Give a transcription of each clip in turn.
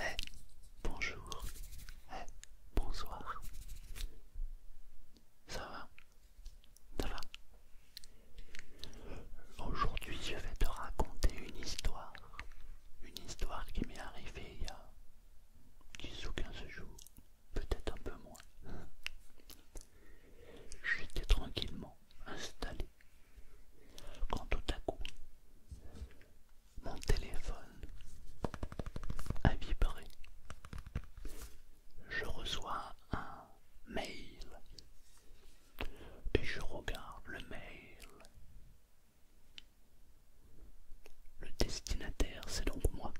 Eh bonjour. Hé, bonsoir. Ça va Ça va Aujourd'hui, je vais te raconter une histoire. Une histoire qui m'est arrivée il y a 10 ou 15 jours peut-être un peu moins. J'étais tranquillement installé quand tout à coup mon téléphone a vibré. Je reçois un mail et je regarde le mail. Le destinataire, c'est donc moi.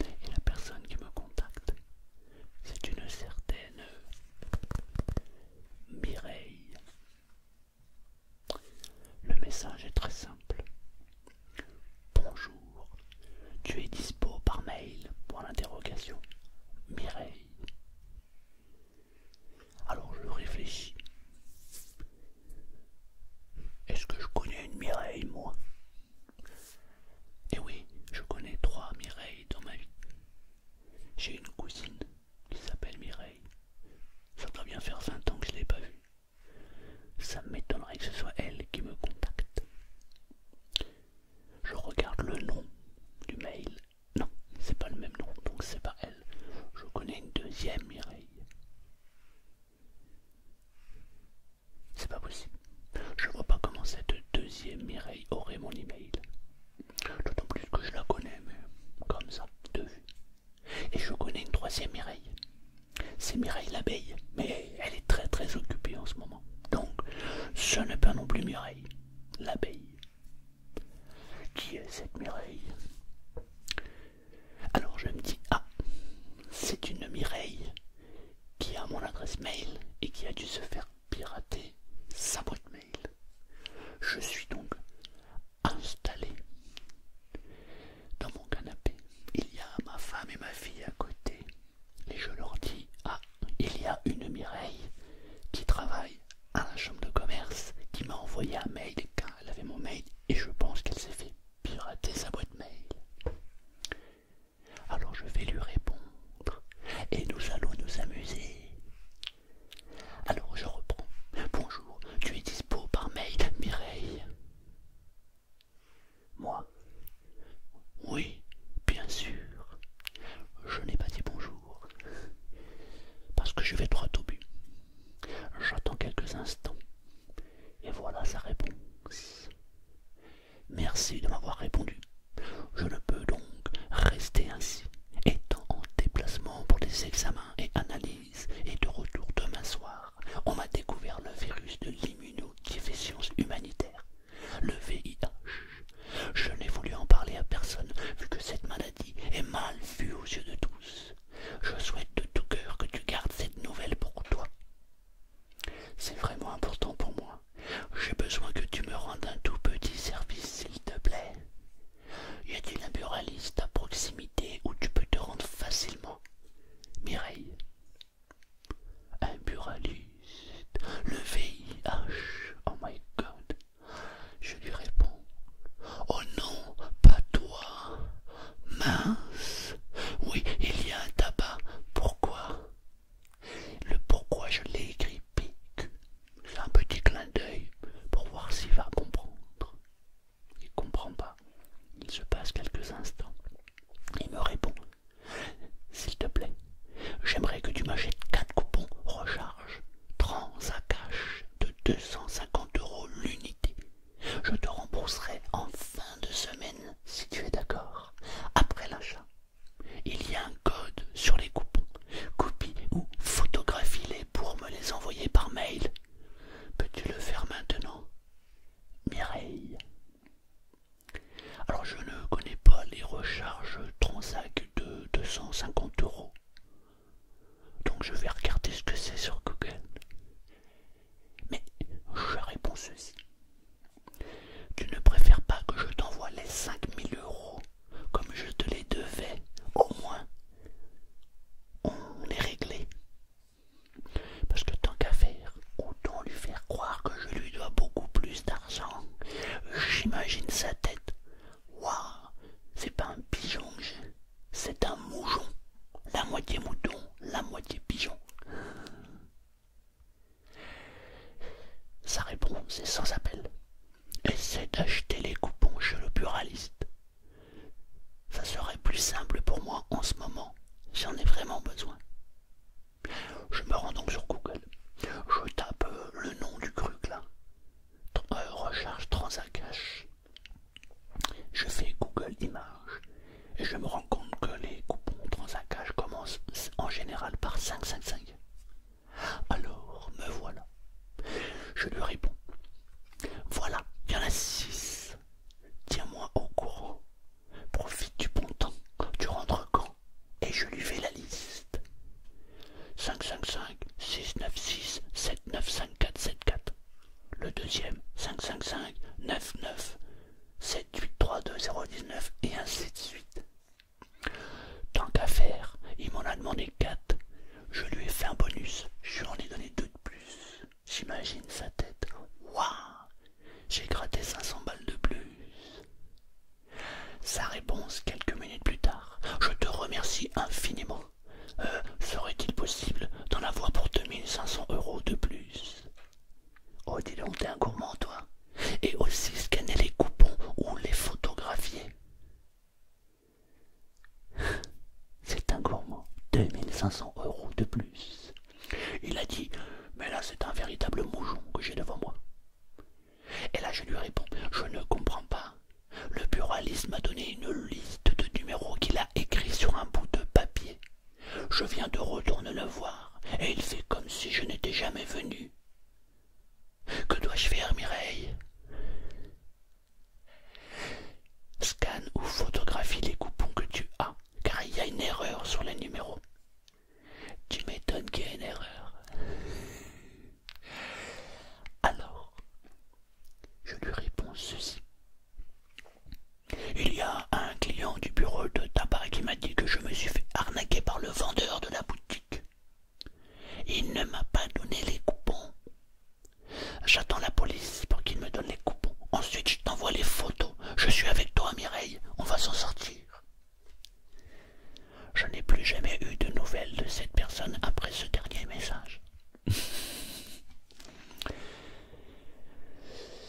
Et la personne qui me contacte, c'est une certaine Mireille. Le message est très simple. Bonjour, tu es dispo par mail pour l'interrogation Mireille. Alors je réfléchis est-ce que je connais une Mireille, moi Eh oui, je connais trois Mireilles dans ma vie. J'ai une cousine qui s'appelle Mireille. Ça doit bien faire 20 ans que je ne l'ai pas vue. Ça m'étonnerait que ce soit elle qui me contacte. Je regarde le nom du mail. Non, c'est pas le même nom, donc c'est pas elle. Je connais une deuxième Mireille. C'est pas possible. Je vois pas comment cette deuxième Mireille aurait mon email. D'autant plus que je la connais, mais comme ça, de vue. Et je connais une troisième Mireille. C'est Mireille l'abeille, mais elle est très très occupée en ce moment. Donc, ce n'est pas non plus Mireille l'abeille. Qui est cette Mireille alors je me dis, ah, c'est une Mireille qui a mon adresse mail et qui a dû se faire pirater sa boîte mail. Je suis donc installé dans mon canapé. Il y a ma femme et ma fille à côté et je leur dis, ah, il y a une Mireille qui travaille à la chambre de commerce qui m'a envoyé un mail quand elle avait mon mail et je pense qu'elle s'est fait pirater sa boîte mail. Alors je vais lui répondre et nous allons nous amuser. Alors je reprends. Bonjour, tu es dispo par mail, Mireille. Moi Oui, bien sûr. Je n'ai pas dit bonjour. Parce que je vais droit au but. J'attends quelques instants. Et voilà sa réponse. Merci de m'avoir répondu. Je ne peux donc rester ainsi, étant en déplacement pour des examens et analyses, et de retour demain soir. On m'a découvert le virus de l'immunodéficience humanitaire, le VIH. Je n'ai voulu en parler à personne, vu que cette maladie est mal vue aux yeux de tous. Je souhaite de tout cœur que tu gardes cette nouvelle pour toi. C'est vraiment important pour moi. J'ai besoin que tu me rendes un tout petit service, s'il te plaît. Y a-t-il un buraliste à proximité où tu peux te rendre facilement Mireille. Un buraliste. Le VIH. Oh my god. Je lui réponds. Oh non, pas toi. Mince. Oui, il y a un tabac. Pourquoi Le pourquoi je l'ai écrit un petit clin d'œil pour voir s'il va comprendre. Il comprend pas. Il se passe quelques instants. Il me répond. S'il te plaît, j'aimerais que tu m'achètes quatre coupons recharge, trans à cash de 250 euros l'unité. Je te rembourserai en fin de semaine, si tu es d'accord, après l'achat. Il y a un code sur les coupons. Copie ou photographie-les pour me les envoyer par mail. Peux-tu le faire maintenant Mireille. Alors je ne connais pas les recharges Transac de 250 euros. Donc je vais regarder ce que c'est sur Google. Mais je réponds ceci. Tu ne préfères pas que je t'envoie les 5000 euros comme je te les devais. Au moins, on est réglé. Parce que tant qu'à faire, autant lui faire croire que je lui dois beaucoup plus d'argent. J'imagine sa tête. Waouh, c'est pas un pigeon que j'ai c'est un moujon, la moitié mouton, la moitié pigeon. Sa réponse est sans appel. Essaie d'acheter les coupons chez le buraliste. Ça serait plus simple pour moi en ce moment. J'en ai vraiment besoin. Je me rends donc sur Google. Je tape le nom du cru là. Euh, recharge recherche Transacash. Je fais Google Images et je me rends compte que les coupons Transacage commencent en général par 555. Alors me voilà. Je lui réponds. Voilà, il y en a 6. Tiens-moi au courant. Profite du bon temps. Tu rentres quand Et je lui fais la liste. 555 696 795474 le deuxième 555 99 7832019 et ainsi de suite. Tant qu'à faire, il m'en a demandé 4. Je lui ai fait un bonus, je lui en ai donné 2 de plus. J'imagine sa tête. Waouh J'ai gratté 500 balles de plus. Sa réponse quelques minutes plus tard. Je te remercie infiniment. Euh, serait-il possible d'en avoir pour 2500 euros de plus Oh, dis donc, t'es un gourmand, toi Et aussi scanner les coupons ou les photographier. C'est un gourmand, 2500 euros de plus. Il a dit Mais là, c'est un véritable moujon que j'ai devant moi. Et là, je lui réponds Je ne comprends pas. Le buraliste m'a donné une liste de numéros qu'il a écrits sur un bout de papier. Je viens de retourner le voir, et il fait comme si je n'étais jamais venu. Que dois-je faire, Mireille Scanne ou photographie les coupons que tu as, car il y a une erreur sur les numéros. Tu m'étonnes qu'il y ait une erreur. Alors, je lui réponds ceci. Il y a un client du bureau de tabac qui m'a dit que je me suis fait arnaquer par le vendeur de la boutique. Il ne m'a pas donné les coupons. J'attends la police pour qu'il me donne les coupons. Ensuite, je t'envoie les photos. Je suis avec toi, Mireille. On va s'en sortir. Je n'ai plus jamais eu de nouvelles de cette personne après ce dernier message.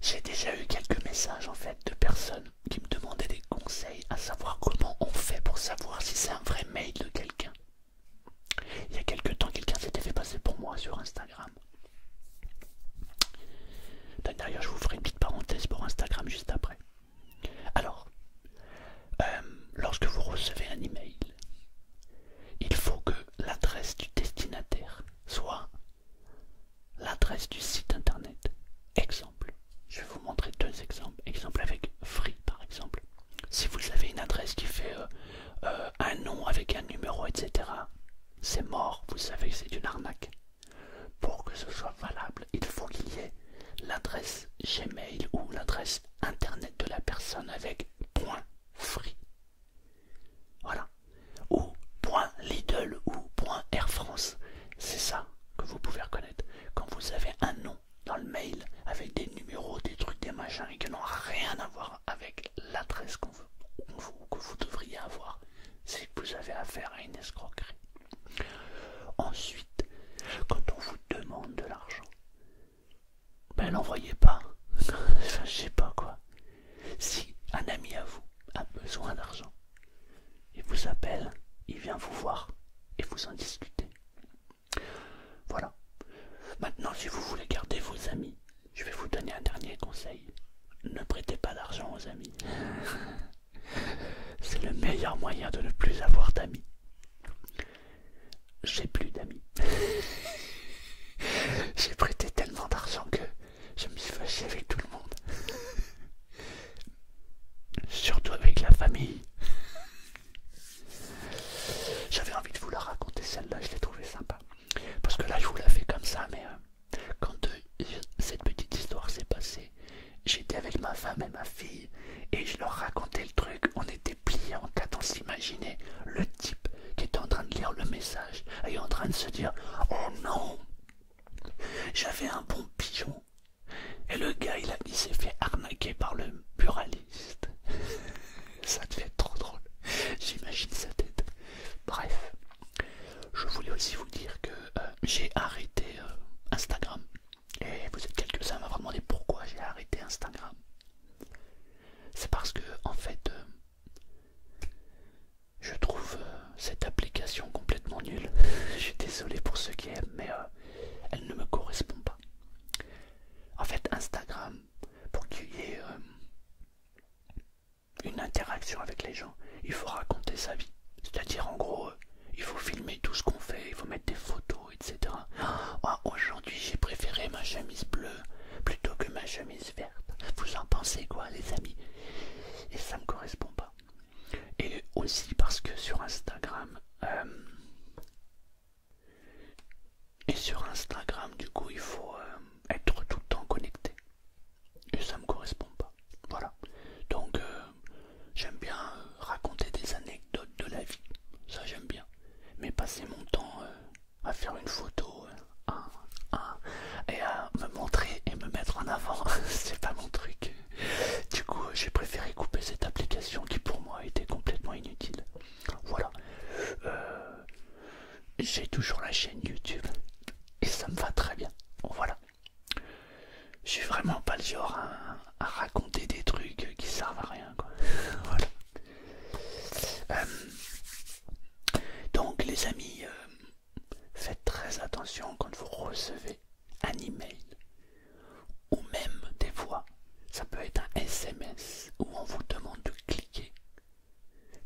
J'ai déjà eu quelques messages en fait de personnes qui me demandaient des conseils à savoir comment on fait pour savoir si c'est un vrai mail de quelqu'un. Il y a quelques temps, quelqu'un s'était fait passer pour moi sur Instagram. D'ailleurs, je vous ferai une petite parenthèse pour Instagram juste après. Alors, euh, lorsque vous recevez un email, il faut que l'adresse du destinataire soit l'adresse du site internet. Exemple, je vais vous montrer deux exemples. Exemple avec Free par exemple. Si vous avez une adresse qui fait euh, euh, un nom avec un numéro, etc., c'est mort, vous savez que c'est une arnaque. Pour que ce soit valable, il faut qu'il y ait l'adresse Gmail ou l'adresse internet de la personne avec point Free. Voilà. Ou point Lidl ou point Air France. C'est ça que vous pouvez reconnaître. Quand vous avez un nom dans le mail avec des numéros, des trucs, des machins et qui n'ont rien à voir avec l'adresse qu'on veut que vous devriez avoir si vous avez affaire à une escroquerie. Ensuite, quand on vous demande de l'argent, ben l'envoyez pas. enfin, je sais pas quoi. Si un ami à vous a besoin d'argent, il vous appelle, il vient vous voir et vous en discutez. Voilà. Maintenant, si vous voulez garder vos amis, je vais vous donner un dernier conseil. Ne prêtez pas d'argent aux amis. C'est le meilleur moyen de ne plus avoir d'amis j'ai plus d'amis. j'ai prêté tellement d'argent que je me suis fâché avec tout le monde. Surtout avec la famille. J'avais envie de vous la raconter celle-là, je l'ai trouvée sympa. Parce que là je vous la fais comme ça, mais euh, quand euh, cette petite histoire s'est passée, j'étais avec ma femme et ma fille et je leur racontais le truc. On était pliés en quatre, on s'imaginait le type qui était en train de lire le message et en train de se dire Oh non J'avais un bon pigeon. Et le gars, il, s'est fait arnaquer par le muraliste Ça te fait trop drôle. J'imagine sa tête. Bref, je voulais aussi vous dire que euh, j'ai arrêté euh, Instagram. Et vous êtes quelques-uns à m'avoir demandé pourquoi j'ai arrêté Instagram. C'est parce que, en fait, euh, je trouve euh, cette application complètement nulle. je suis désolé pour ceux qui aiment, mais euh, elle ne me correspond pas. En fait, Instagram, pour qu'il y ait une interaction avec les gens, il faut raconter sa vie. C'est-à-dire, en gros, il faut filmer tout ce qu'on fait, il faut mettre des photos, Aujourd'hui, j'ai préféré ma chemise bleue plutôt que ma chemise verte. Vous en pensez quoi, les amis Et ça me correspond pas. Et aussi parce que sur Instagram, euh, et sur Instagram, du coup, il faut euh, être tout le temps connecté. Et ça me correspond pas. Voilà. Donc, euh, j'aime bien raconter des anecdotes de la vie. Ça, j'aime bien mais passer mon temps euh, à faire une photo euh, et à me montrer et me mettre en avant, c'est pas mon truc. Du coup, j'ai préféré couper cette application qui pour moi était complètement inutile. Voilà. Euh, j'ai toujours la chaîne YouTube et ça me va très bien. Voilà. Je suis vraiment pas le genre à raconter des trucs qui servent à rien quoi. voilà. Euh, donc les amis, euh, faites très attention quand vous recevez un email ou même des fois, ça peut être un SMS où on vous demande de cliquer.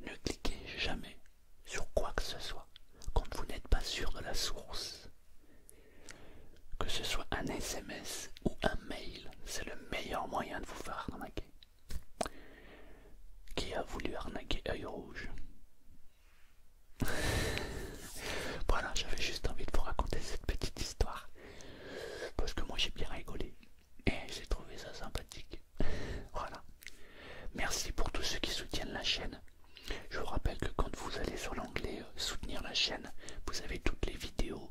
Ne cliquez jamais sur quoi que ce soit quand vous n'êtes pas sûr de la source. Que ce soit un SMS ou un mail, c'est le meilleur moyen de vous faire arnaquer. Qui a voulu arnaquer œil rouge Voilà, j'avais juste envie de vous raconter cette petite histoire. Parce que moi j'ai bien rigolé. Et j'ai trouvé ça sympathique. voilà. Merci pour tous ceux qui soutiennent la chaîne. Je vous rappelle que quand vous allez sur l'onglet euh, Soutenir la chaîne, vous avez toutes les vidéos